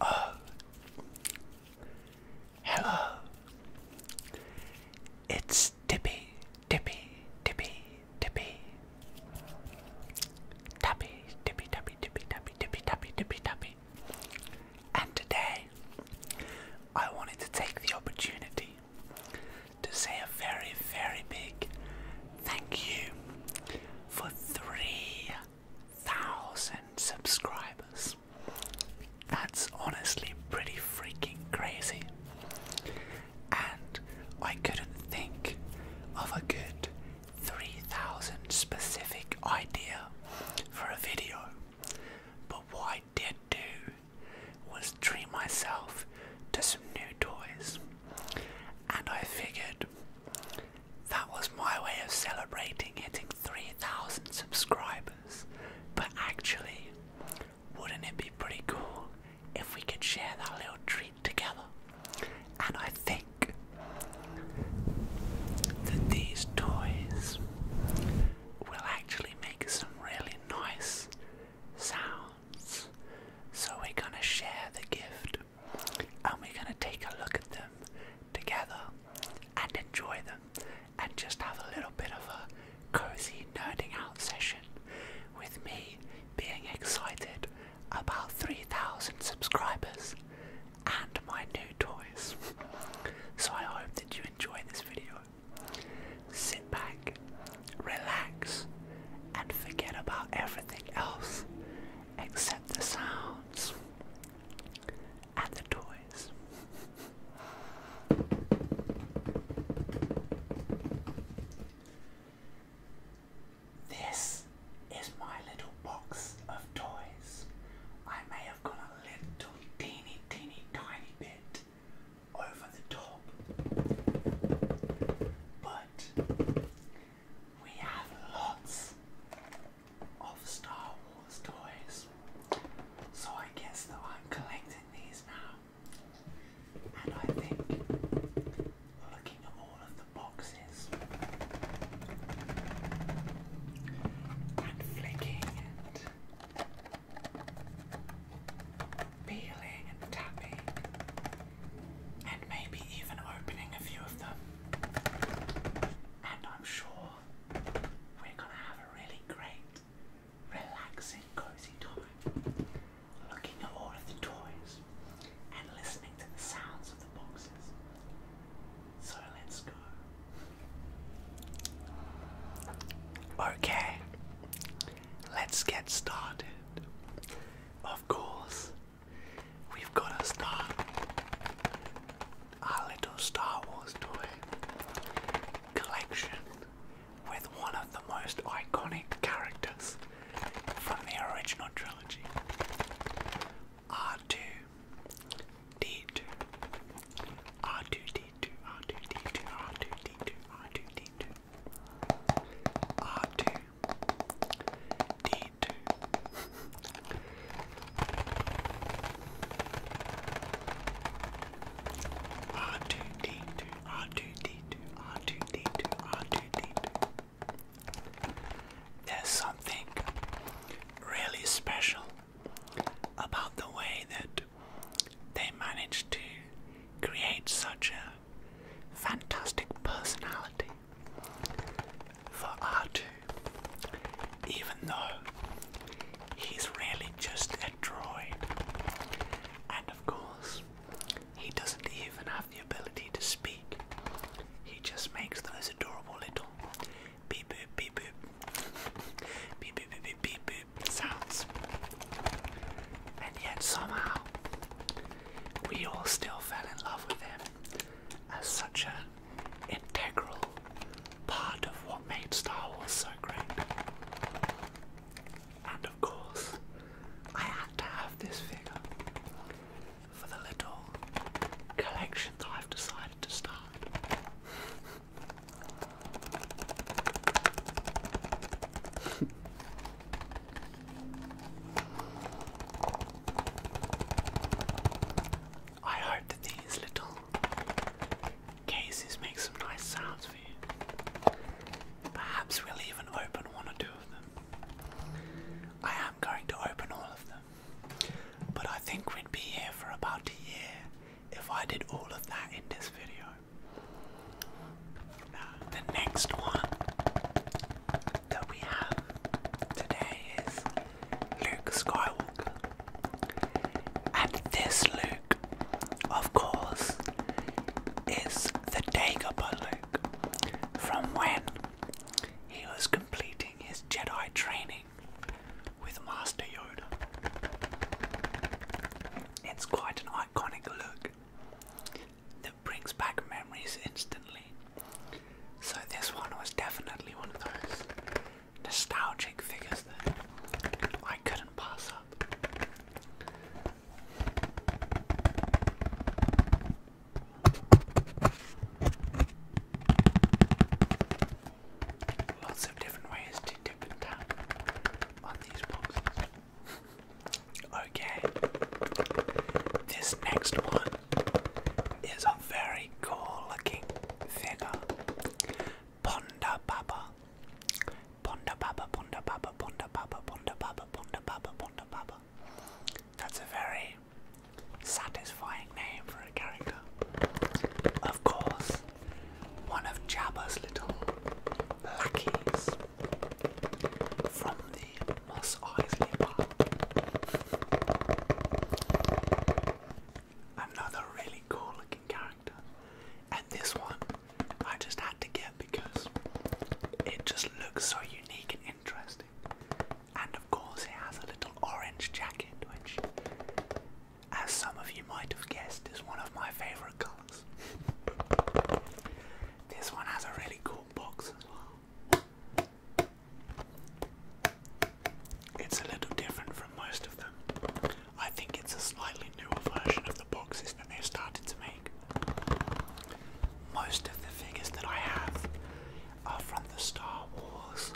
Oh, hello. It's Dippy, Dippy, Dippy, Dippy. Tappy, Dippy, Tappy, Dippy, Tappy, Dippy, Tappy, Dippy, Tappy. And today, I wanted to take the opportunity to say a very, very big thank you for 3,000 subscribers. That's honestly pretty freaking crazy. And I couldn't think of a good 3,000 specific idea for a video. But what I did do was dream myself to some new toys. And I figured that was my way of celebrating hitting 3,000 subscribers. But actually, wouldn't it be pretty cool if we could share that little treat together? And I think that these toys will actually make some really nice sounds. So we're gonna share the gift and we're going to take a look at them together and enjoy them and just have a little bit of a cozy nerding out session with me being excited about 3,000 subscribers and my new toys. So I hope that you enjoy this video. Sit back, relax, and forget about everything else except the sounds and the toys. This is my little box of toys. I may have gone a little teeny, teeny, tiny bit over the top, but we have lots of Star Wars toys, so I guess that I'm collecting these now. And I think looking at all of the boxes and flicking and peeling and tapping and maybe even opening a few of them. And I'm sure we're gonna have a really great, relaxing, cozy time looking at all of the toys and listening to the sounds of the boxes. So let's go. Okay, let's get started. Of course, We've got to start our little Star Wars toy collection with one of the most iconic characters from the original trilogy R2 D2 R2 D2 R2 D2 R2 D2 R2 D2 R2, D2. R2, D2, R2, D2, R2, D2, R2, D2. There's something really special about the way that they managed to create such a fantastic personality for R2, even though he's really just a droid. And of course, he doesn't even have the ability to speak, he just makes those adorable little beep boop beep boop beep boop beep beep beep, beep sounds. And yet somehow we all still fell in love with him as such an integral part of what made Star Wars so great. And of course, I had to have this figure for the little collection that I've decided to start. I hope that these little cases make some nice sounds for you. Perhaps we'll even open one or two of them. I am going to open all of them, but I think we'd be here for about a year if I did all of that in this video. the next one that we have today is Luke Skywalker. And this Luke, of course, is the Dagobah Luke from when he was completing his Jedi training with Master Yoda. It's quite an iconic look that brings back memories instantly. So this one was definitely one of those nostalgic figures that I couldn't pass up. Lots of different ways to dip and tap on these boxes. Okay, this next one is a very cool looking figure. Ponda Baba. Ponda Baba, Ponda Baba, Ponda Baba, Ponda Baba, Ponda Baba, Ponda Baba. That's a very satisfying name for a character. Of course, one of Jabba's little lackeys from the Moss Isley bar. Another really cool looking character. And this one I just had to get because it just looks so unique and interesting. And of course, it has a little orange jacket, which, as some of you might have guessed, is one of my favorite colors. this one has a really cool box as well. It's a little different from most of them. I think it's a slightly newer version of the boxes that they've started to make. Most of the figures that I have are from the Star Wars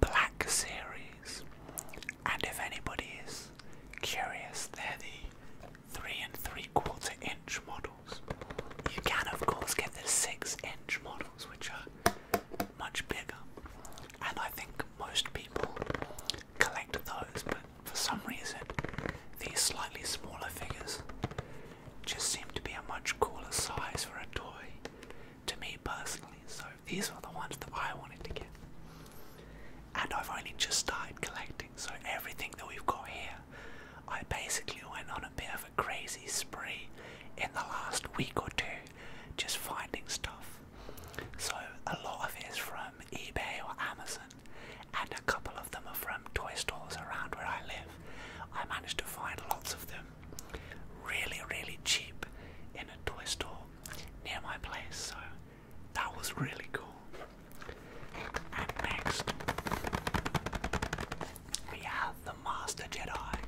Black Series. And if anybody is curious, they're the three and three quarter inch models. You can of course get the six inch models which are much bigger and I think most people collect those but for some reason these slightly smaller figures just seem to be a much cooler size for a toy to me personally so these are the ones that I wanted to get and I've only just started collecting so everything that we've got here, I basically went on a bit of a crazy spree in the last week or two, just finding stuff. So a lot of it is from eBay or Amazon, and a couple of them are from toy stores around where I live. I managed to find lots of them really, really cheap in a toy store near my place, so that was really cool. And next, we have the Master Jedi,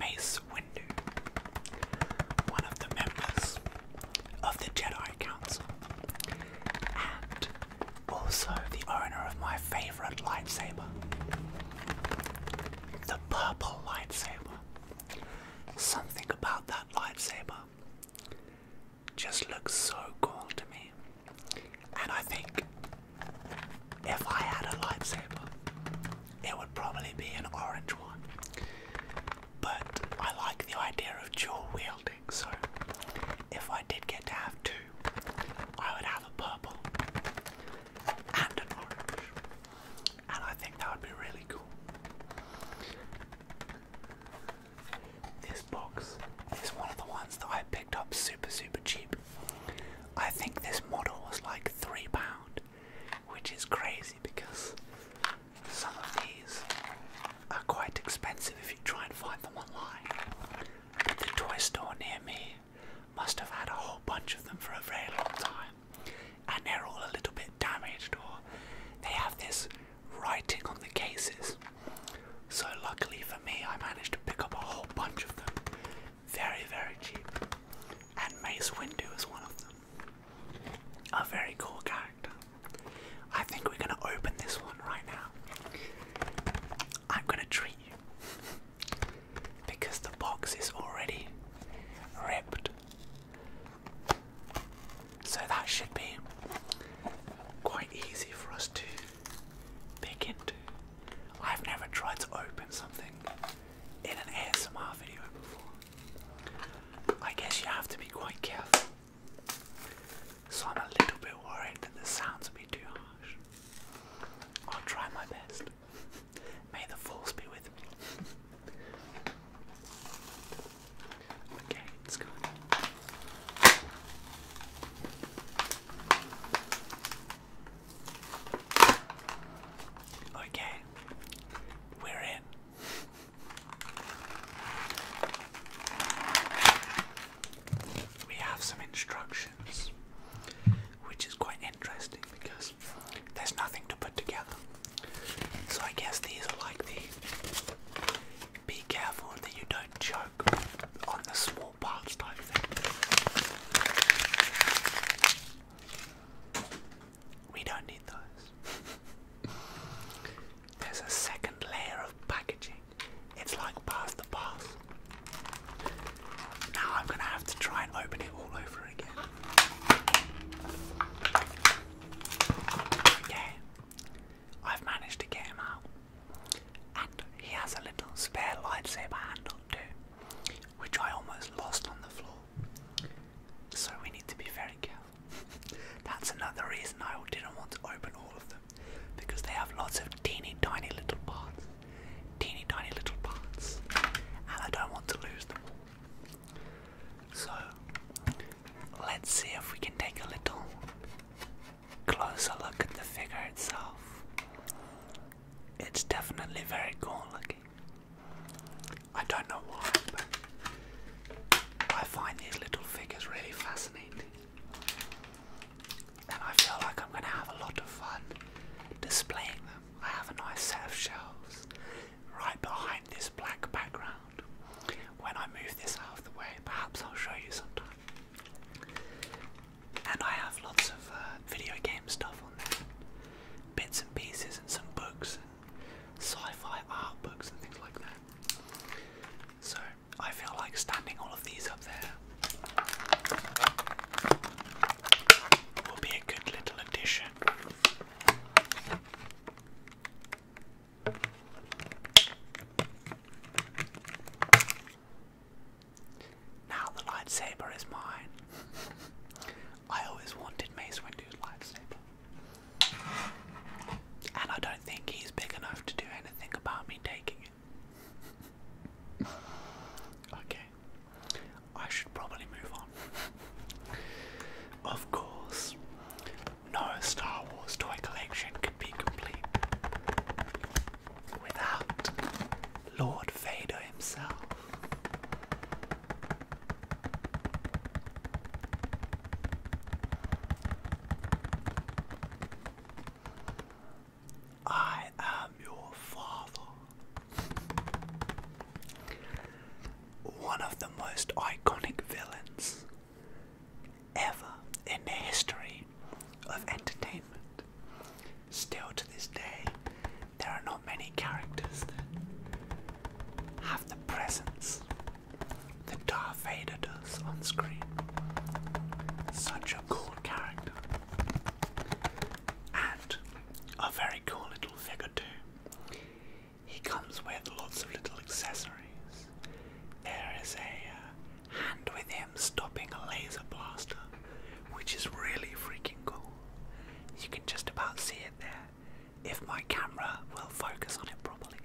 Mace Windu, one of the members of the Jedi Council, and also the owner of my favorite lightsaber, the purple lightsaber. Something about that lightsaber just looks so cool to me. And I think if I had a lightsaber, it would probably be an orange one. But I like the idea of dual wielding, so if I did get to have two, I would have a purple and an orange. And I think that would be really cool. This box is one of the ones that I picked up super, super cheap. I think this model was like £3, which is crazy because some of these are quite expensive if you try and find them online. But the toy store near me must have had a whole bunch of them for a very long time. And they're all a little bit damaged, or they have this writing on the cases so, luckily for me, I managed to pick up a whole bunch of them very, very cheap. And Mace Windu is one of them. A very cool character. I think we're going to open this one right now. I'm going to treat you because the box is already ripped. So that should be quite easy for us to Picant. I've never tried to open something in an ASMR video before. I guess you have to be quite careful. So I'm a little bit worried that the sounds will be too harsh. I'll try my best. May the force be with me. okay. Let's go. Okay, we're in. We have some instructions, which is quite interesting because there's nothing to put together. So I guess these are like the be careful that you don't choke on the small parts type thing. We don't need those. There's a second layer of packaging. It's like past the past. Now I'm gonna have to try and open it all over again. Okay. I've managed to get him out. And he has a little spare lightsaber handle too, which I almost lost on the floor. So we need to be very careful. That's another reason I didn't want to open all of them, because they have lots of teeny tiny little parts. Teeny tiny little parts. And I don't want to lose them all. So let's see if we can take a little closer look at the figure itself, it's definitely very cool looking. I don't know why, but I find these little figures really fascinating. And I feel like I'm going to have a lot of fun displaying them. I have a nice set of shelves right behind this black background. When I move this out of the way, perhaps I'll show you sometime. And I have lots of uh, video game stuff on there, bits and pieces, and some books, and sci-fi art books, and things like that. So I feel like standing all of these up there will be a good little addition. Now the lightsaber is mine. I always wanted Mace Windu's lightsaber. And I don't think he's big enough to do anything about me taking it. okay. I should probably move on. Of course, no Star Wars toy collection could be complete without Lord Vader himself. I am your father. One of the most iconic villains ever in the history of entertainment. Still to this day, there are not many characters that have the presence that Darth Vader does on screen. Such a cool character. And a very cool little figure too. He comes with lots of little accessories. There is a uh, Hand with him stopping a laser blaster, which is really freaking cool. You can just about see it there if my camera will focus on it properly.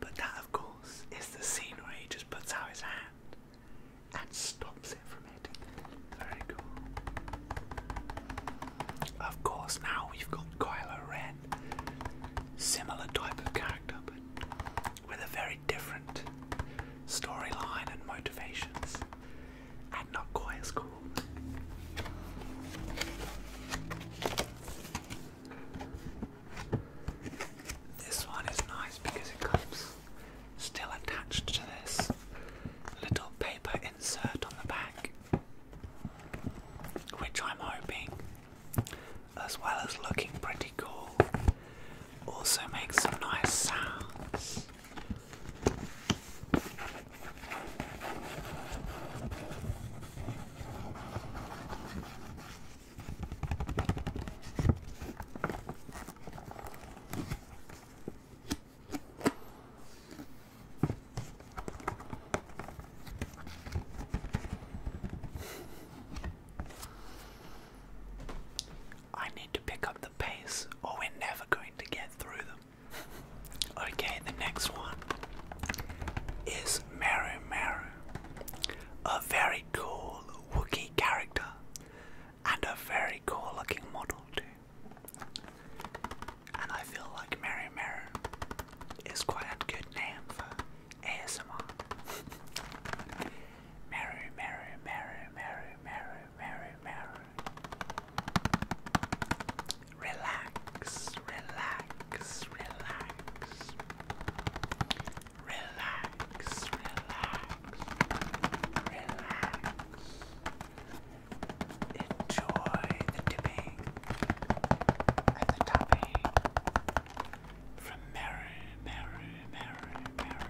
But that, of course, is the scene where he just puts out his hand and stops it from hitting. Very cool. Of course, now we've got Kylo Ren, similar type of character, but with a very different storyline and motivations, and not quite This one is nice because it comes still attached to this little paper insert on the back, which I'm hoping as well as looking pretty cool, also makes some nice sounds. I need to pick up the pace or we're never going to get through them. Okay, the next one is Meru Meru, a very cool Wookiee character and a very cool looking model too. And I feel like Meru Meru is quite a good name for ASMR. Merry, merry, merry, merry, merry, merry, merry. Relax, relax, relax. Relax, relax, relax. Enjoy the dipping and the topping from Meru, Meru, Meru, Meru.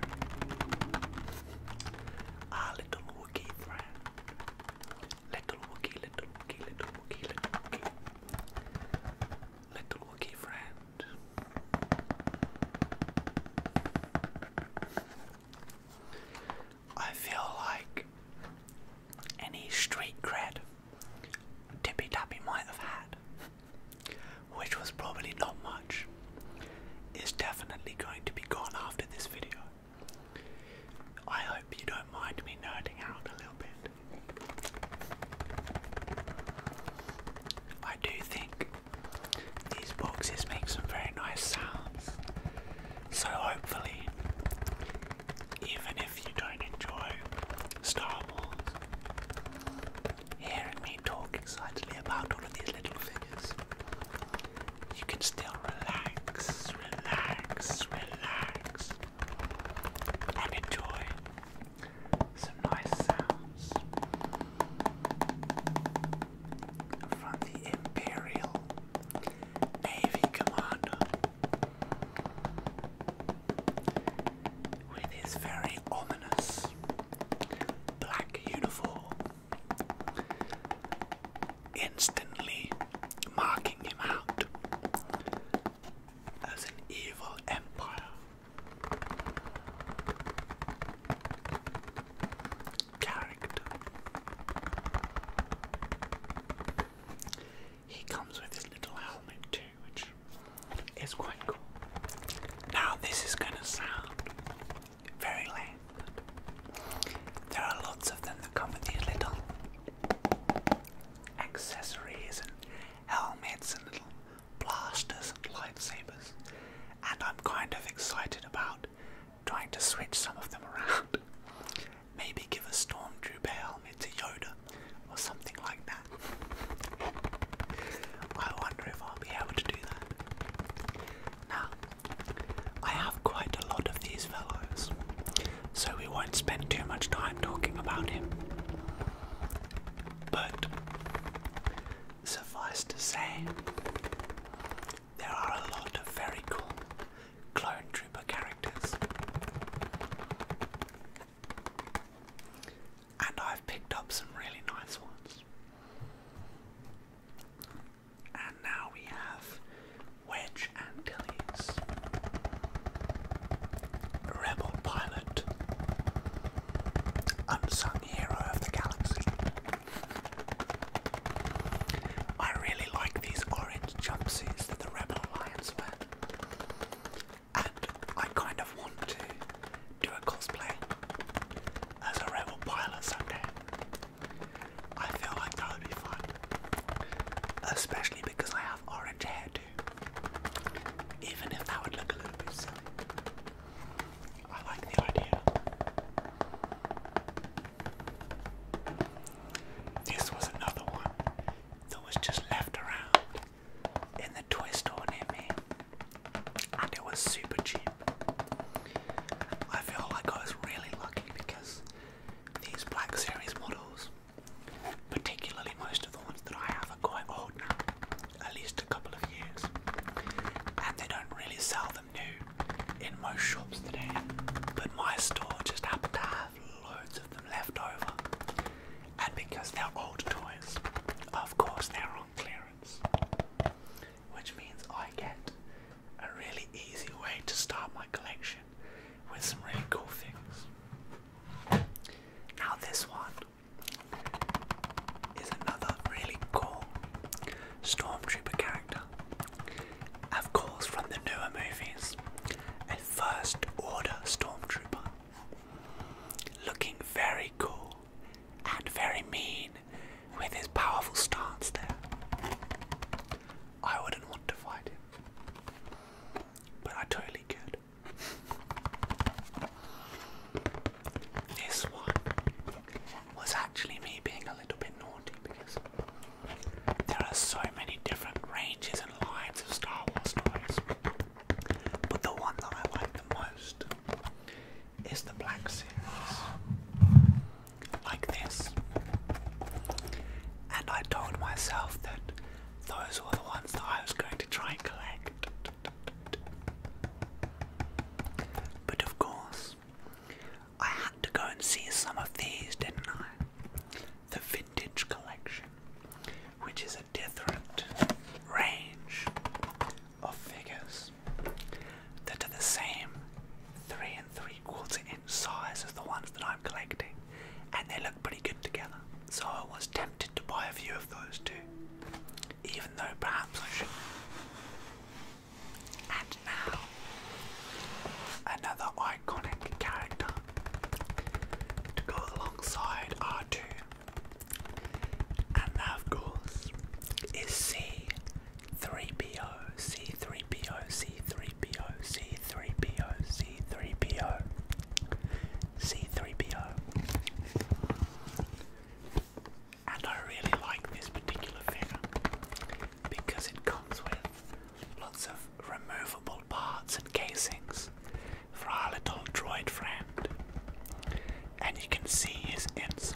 Our ah, little Wookie friend. little Wookie, little Wookie, little Wookie. Little Wookie friend. I feel like any street cred Tippy Tappy might have had, which was probably not much, is definitely going to be gone after this video. I hope you don't mind me nerding out a little bit. I do think these boxes make some very nice sounds, so hopefully, even if if you don't enjoy Star Wars, hearing me talk excitedly about all of these little figures, you can still relax, relax, relax, and enjoy some nice sounds from the Imperial Navy Commander with his very ominous black uniform, instantly marking him out as an evil empire. Character. He comes with his little helmet too which is quite cool. Now, this is going to sound very lame. There are lots of them that come with these little accessories and helmets and little blasters and lightsabers, and I'm kind of excited about trying to switch some of them around. Maybe give a stormtrooper helmet to Yoda or something like that. I wonder if I'll be able to do that. Now, I have quite a lot of these fellows, so we won't spend too much time talking about him. But suffice to say, there are a lot of very cool clone trooper characters and I've picked up some really nice ones. And now we have Wedge Antilles, Rebel Pilot, Unsung Hero of the Galaxy. I really like these orange jumpsuits that the Rebel Alliance wear. I kind of want to do a cosplay as a rebel pilot someday. I feel like that would be fun, especially because I have orange hair Even if that would look a little bit silly, I like the idea. This was another one that was just left around in the toy store near me, and it was super cheap. I feel like I was really lucky because these Black Series models, particularly most of the ones that I have, are quite old now, at least a couple of years, and they don't really sell them new in most shops today. But my store just happened to have loads of them left over, and because they're old toys, of course they're on clearance, which means I get a really easy way to start my collection with some really cool things. Now, this one is another really cool Stormtrooper character, of course, from the newer movies, a First Order Stormtrooper looking very cool and very mean with his powerful stance there. I wouldn't want to fight him, but I totally could. This one was actually me being a little bit naughty because there are so many different ranges and lines of Star Wars toys. But the one that I like the most is the Black Series. Like this. And I told myself that those were the ones that I was going to try and collect. But of course, I had to go and see some of these, didn't I? The vintage collection which is a different range of figures that are the same three and three quarters in size as the ones that I'm collecting, and they look pretty good together. So I was tempted to buy a few of those too, even though perhaps I should And now, another iconic character to go alongside R2 and of course, is C3PO, C3PO, C3PO, C3PO, C3PO, C3PO. And I really like this particular figure because it comes with lots of removable parts and casings for our little droid friend. And you can see his insides.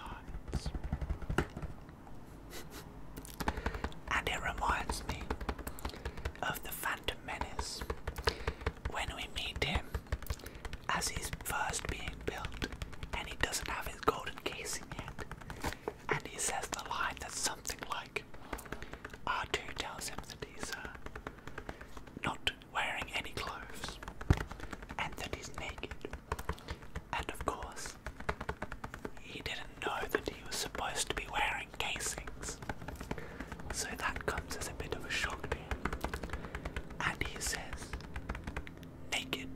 and it reminds me of the Phantom Menace when we meet him as he's first being built and he doesn't have his golden casing yet. And he says the line that's something like R2 tells him that he's uh, not wearing any clothes and that he's naked. And of course, he didn't know that he was supposed to be wearing casings. So that comes as a bit of a shock to him. And he says, Naked?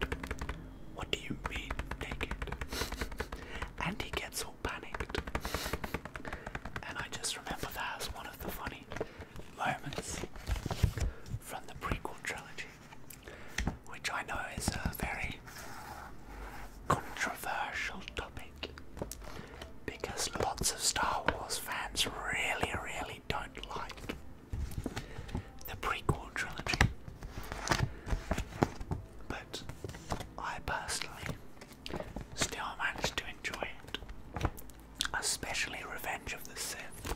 What do you mean, naked? and he gets all panicked. And I just remember that as one of the funny moments from the prequel trilogy, which I know is a very controversial topic because lots of Star Wars fans really, really don't like the prequel trilogy. But I personally Still managed to enjoy it, especially Revenge of the Sith,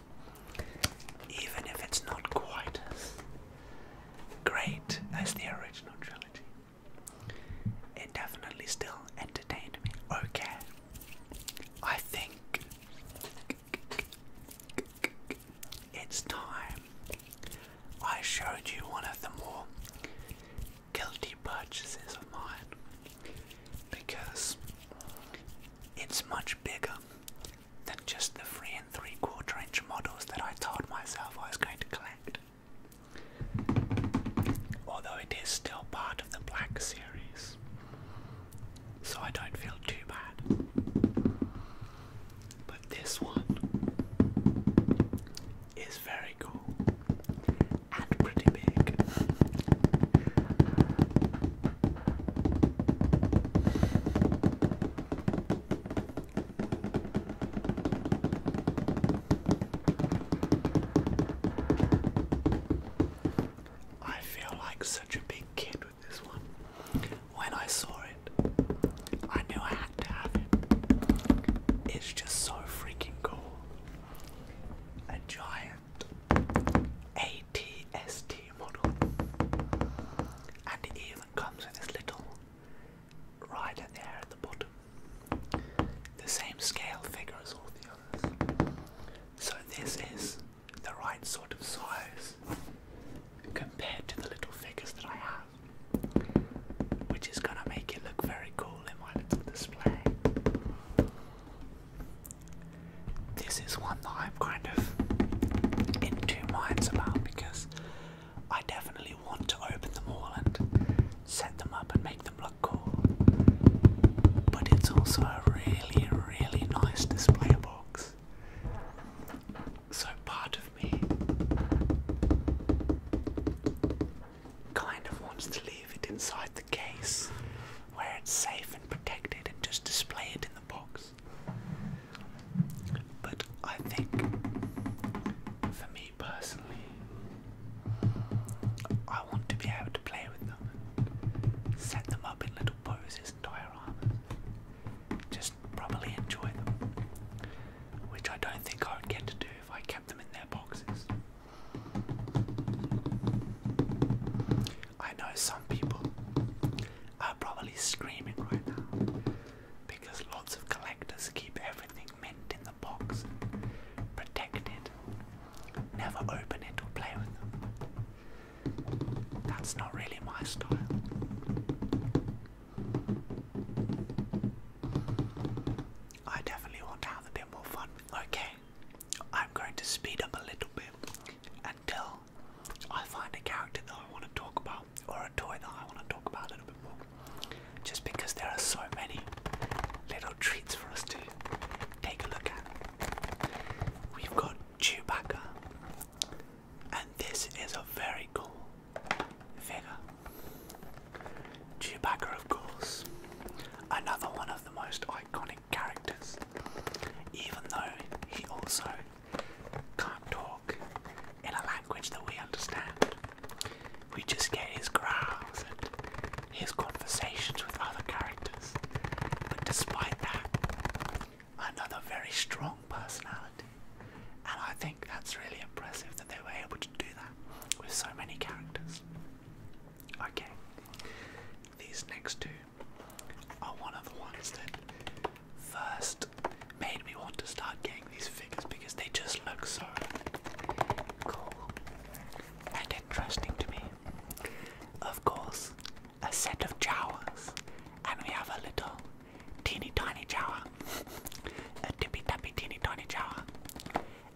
even if it's not quite as great as the original trilogy. It definitely still entertained me. Okay, I think it's time I showed you one of the more guilty purchases of mine because it's much bigger than just the three and three quarter inch models that I told myself I was going to collect. Although it is still part of the black series, so I don't feel too bad. But this one is very cool and pretty big. I feel like such a big kid with this one. When I saw it, I knew I had to have it. It's just so freaking cool a giant ATST model, and it even comes with this little rider there at the bottom, the same scale figure as all the others. So, this is the right sort of size compared to the little figures that I have, which is going to make it look very cool in my little display. This is one that I'm kind of in two minds about because I definitely want to open them all and set them up and make them look cool. But it's also a really, really nice display box. So part of me kind of wants to leave it inside the case where it's safe and protected and just display it in the box. But I think for me personally, I want to be able to play with them and set them up in little poses and dioramas. Just properly enjoy them, which I don't think I would get to do if I kept them in their boxes. I know some people are probably screaming right now because lots of collectors keep everything mint in the box, protected, never open it or play with them. That's not really my style. I definitely want to have a bit more fun. Okay, I'm going to speed up a little bit until I find a character that I want to talk about or a toy that I want to talk about a little bit more. Just because there are so many little treats for us to take a look at. We've got Chewbacca, and this is a very cool figure. Chewbacca, of course, another one of the most iconic characters, even though he also can't talk in a language that we understand. We just get his growls and his conversations with other characters. But despite that, another very strong personality. And I think that's really impressive that they were able to do that with so many characters. Okay, these next two are one of the ones that first made me want to start getting these figures because they just look so cool and interesting to me. Of course, a set of Jawas, and we have a little teeny tiny Jawa, a tippy tappy teeny tiny Jawa,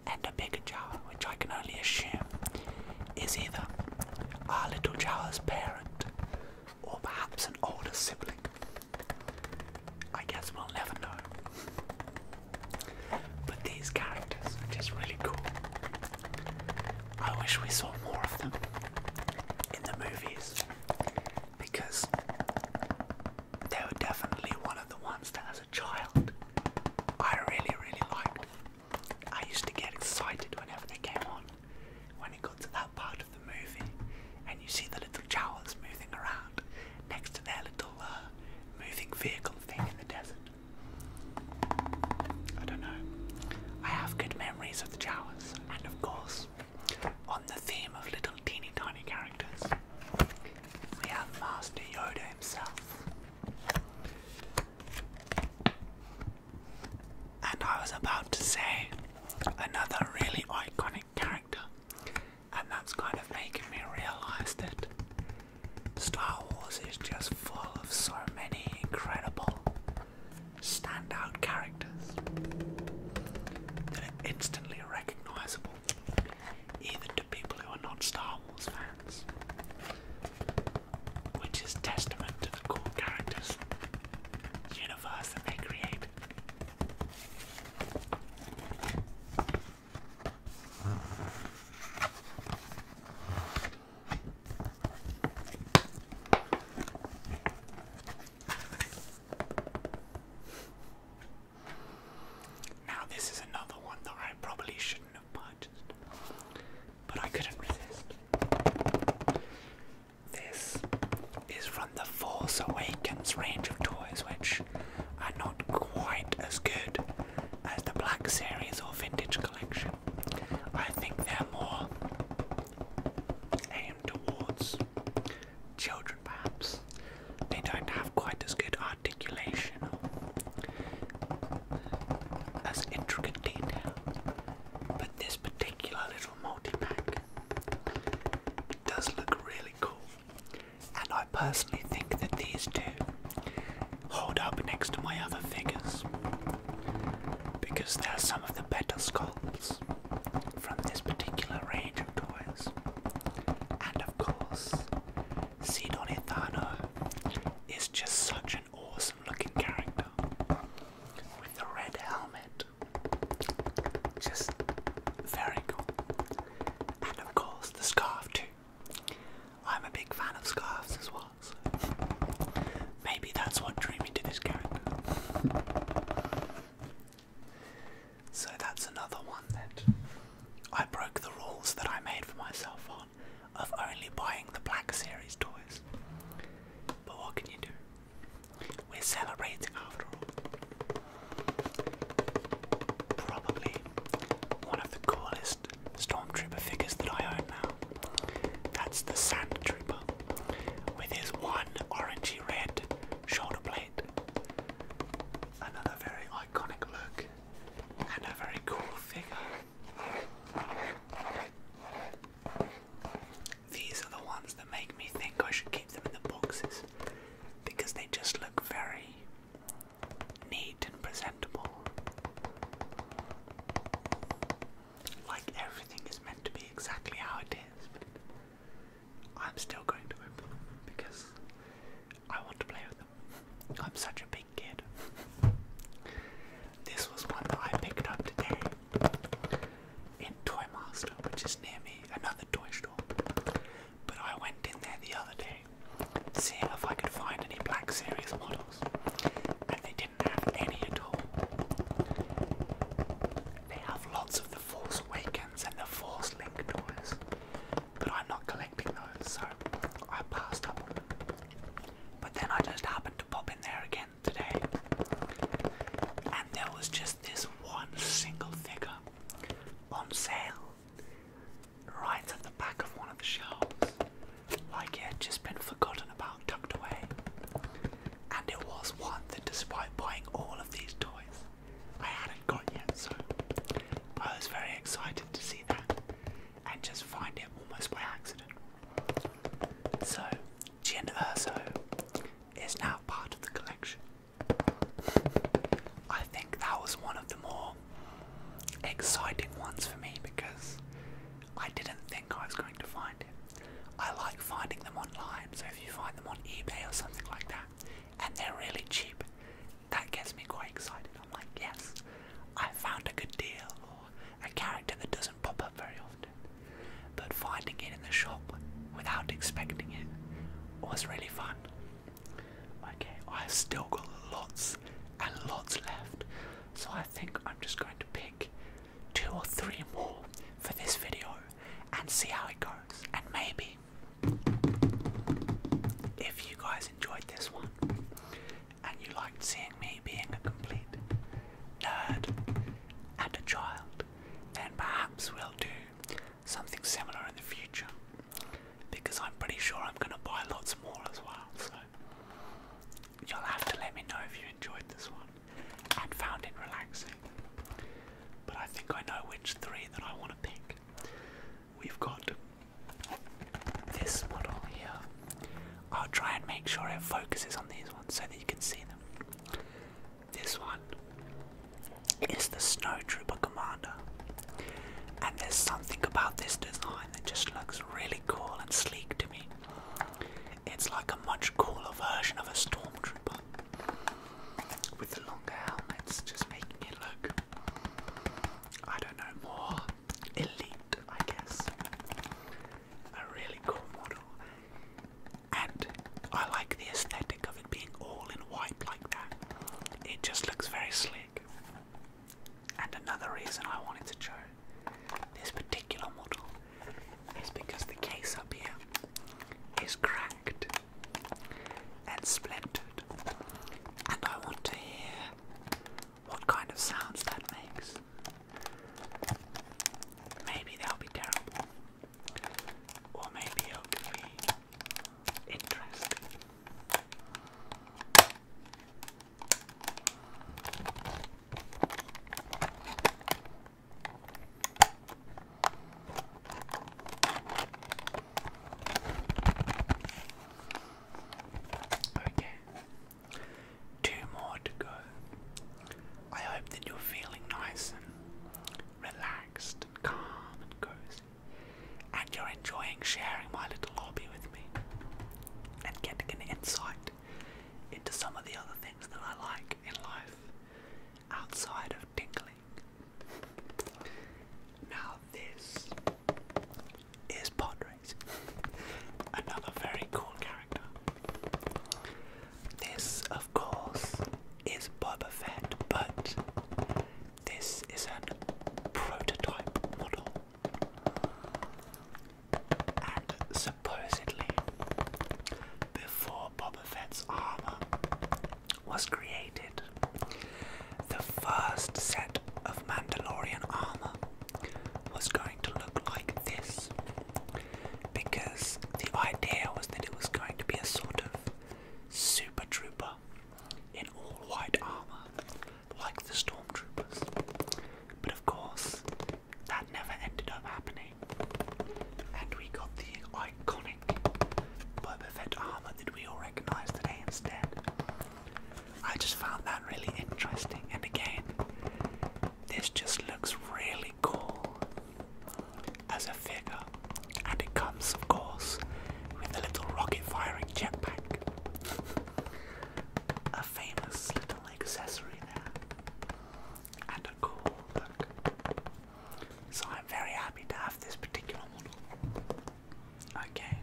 and a bigger jar, which I can only assume is either our little Jawa's parent or perhaps an older sibling. I guess we'll never know. But these characters are just really cool. I wish we saw more of them in the movies because they were definitely one of the ones that as a child, I really, really liked. I used to get excited whenever they came on. When it got to that part of the movie, and you see the little Jawas moving around next to their little uh, moving vehicle thing in the desert. I don't know. I have good memories of the Jawas, and of course, on the theme of little teeny tiny characters, we have Master Yoda himself. And I was about to say another really iconic character, and that's kind of making me realize that Star Wars is just full of so many incredible standout characters that are instantly recognizable even to people who are not Star Wars fans, which is testament to the cool characters, universe that they create. Now, this is another one that I probably shouldn't have purchased, but I couldn't resist. This is from the Force Awakens range of toys, which are not quite as good as the Black Series or Vintage Collection. I think they're more aimed towards children, perhaps they don't have quite as good articulation as intricate detail. But this particular little multi-pack does look really cool. And I personally think that these two hold up next to my other figures because they're some of the better sculpts from this particular range of toys. And of course, Sidonethano is just such an awesome looking character with the red helmet. Just very cool. And of course, the scarf too. I'm a big fan of scarves as well, so maybe that's what drew me to this character. So that's another one that I broke the rules that I made for myself on of only buying the Black Series toys. But what can you do? We're celebrating after all. Probably one of the coolest Stormtrooper figures that I own now. That's the Sandtrooper, with his one orangey red shoulder blade. Another very iconic look and a very cool figure. These are the ones that make me think I should keep them in the boxes because they just look very neat and presentable. Like everything is meant to be exactly how it is, I'm still going to open them because I want to play with them. I'm such a big kid. This was one that I picked up today in Toy Master, which is near me, another toy store. But I went in there the other day, seeing if I could find any Black Series models, and they didn't have any at all. They have lots of the Force Awakens and the Force Link toys, but I'm not collecting those, so I passed up on them. But then I just happened to pop in there again today, and there was just this one single figure on sale right at the back of one of the shelves, like it had just been forgotten about, tucked away. And it was one that, despite buying all of these toys, I had I was very excited to see that and just find it almost by accident. So, Jin is now part of the collection. I think that was one of the more exciting ones for me because I didn't think I was going to find it. I like finding them online, so if you find them on eBay or something like that, and they're really cheap, that gets me quite excited. I'm like, yes, I found a good deal, or a character that doesn't pop up very often. But finding it in the shop without expecting it was really fun. Okay, I've still got lots and lots left, so I think I'm just going to pick two or three more for this video and see how it goes, and maybe if you guys enjoyed this one and you liked seeing me being a complete nerd and a child, then perhaps we'll do something similar in the future because I'm pretty sure I'm going to buy lots more as well. So you'll have to let me know if you enjoyed this one and found it relaxing. But I think I know which three that I want to pick we've got this model here. I'll try and make sure it focuses on these ones so that you can see them. This one is the Snowtrooper Commander, and there's something about this design that just looks really cool and sleek to me. It's like a much cooler version of a Stormtrooper with the longer helmets, just making it look I don't know, more elite, I guess. A really cool model. And I like the aesthetic of it being all in white like that. It just looks very slick. And another reason I wanted to show this particular model is because the case up here is cracked and splintered. And I want to hear what kind of sounds that makes. Maybe they'll be terrible, or maybe it'll be interesting. Okay, two more to go. I hope that you're feeling nice and relaxed and calm and cozy, and you're enjoying sharing my little hobby with me and getting an insight into some of the other things that I like in life outside of tingling. Now, this is Podrace. Another very cool character. This, of course, is Boba Fett, but this is a prototype model. And supposedly, before Boba Fett's armor was created, the first set of Mandalorian armor was going to look like this because the idea was that it was going to be a sort of super trooper in all white armor like the stormtroopers. But of course, that never ended up happening. And we got the iconic Boba Fett armor that we all recognize today instead. I just found that really interesting, and again, this just looks really cool as a figure, and it comes, of course, with a little rocket firing jetpack. a famous little accessory there, and a cool look. So I'm very happy to have this particular model. Okay.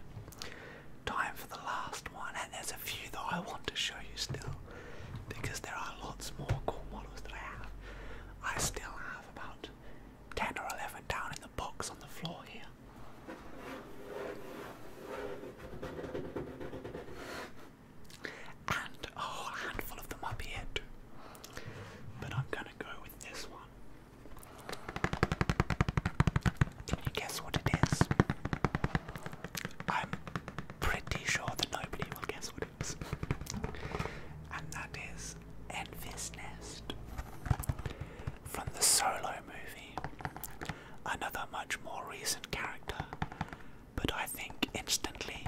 Time for the last one, and there's a few that I want to show you still because there are lots more cool models that I have. I still have about 10 or 11 down in the box on the floor here. And a whole handful of them up here But I'm gonna go with this one. Can you guess what it is? I'm pretty sure that nobody will guess what it is. and that is Envy's Nest from the Solo movie. Another much more recent character, but I think instantly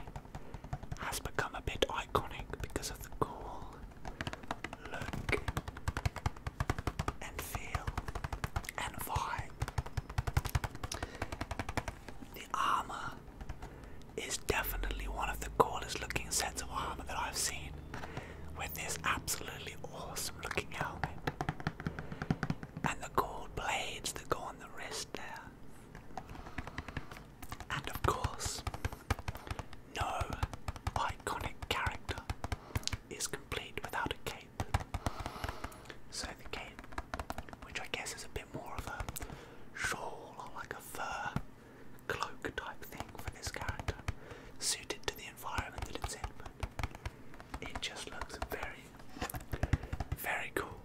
has become a bit iconic because of the cool look and feel and vibe. The armor is definitely one of the coolest looking sets of armor that I've seen with this absolutely awesome looking helmet. And the gold blades that go on the wrist there. And of course, no iconic character is complete without a cape. So the cape, which I guess is a bit more of a shawl or like a fur cloak type thing for this character, suited to the environment that it's in, it just looks very, very cool.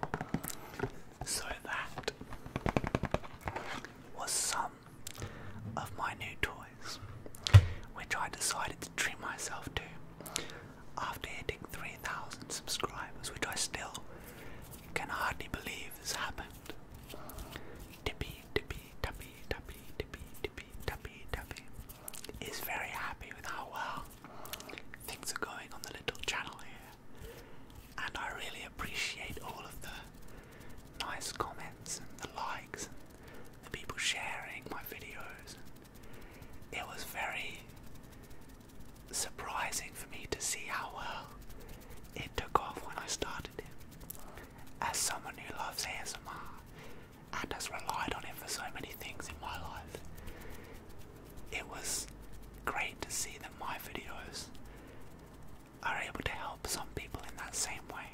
so that was some of my new toys, which I decided to treat myself to after hitting 3,000 subscribers, which I still can hardly believe has happened. Tippy, tippy, tappy, tappy, tippy, tippy, tappy, is very happy with how well things are going on the little channel here. And I really appreciate all of the nice comments and the likes and the people sharing my videos. It was very surprising for me to see how well it took off when I started it. As someone who loves ASMR and has relied on it for so many things in my life, it was great to see that my videos are able to help some people in that same way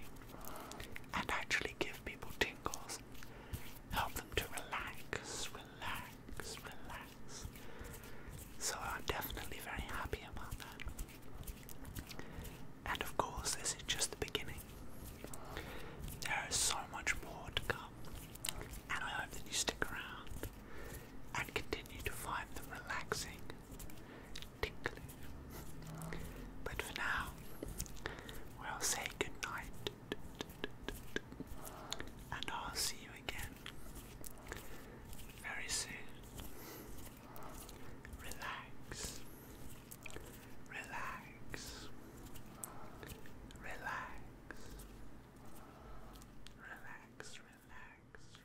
and actually give people tingles, help them to relax, relax, relax. So I'm definitely very happy about that. And of course, this is just the beginning. There is so much more to come, and I hope that you stick around and continue to find them relaxing tickly. But for now, we'll say goodnight. And I'll see you again very soon. Relax, relax, relax, relax, relax, relax.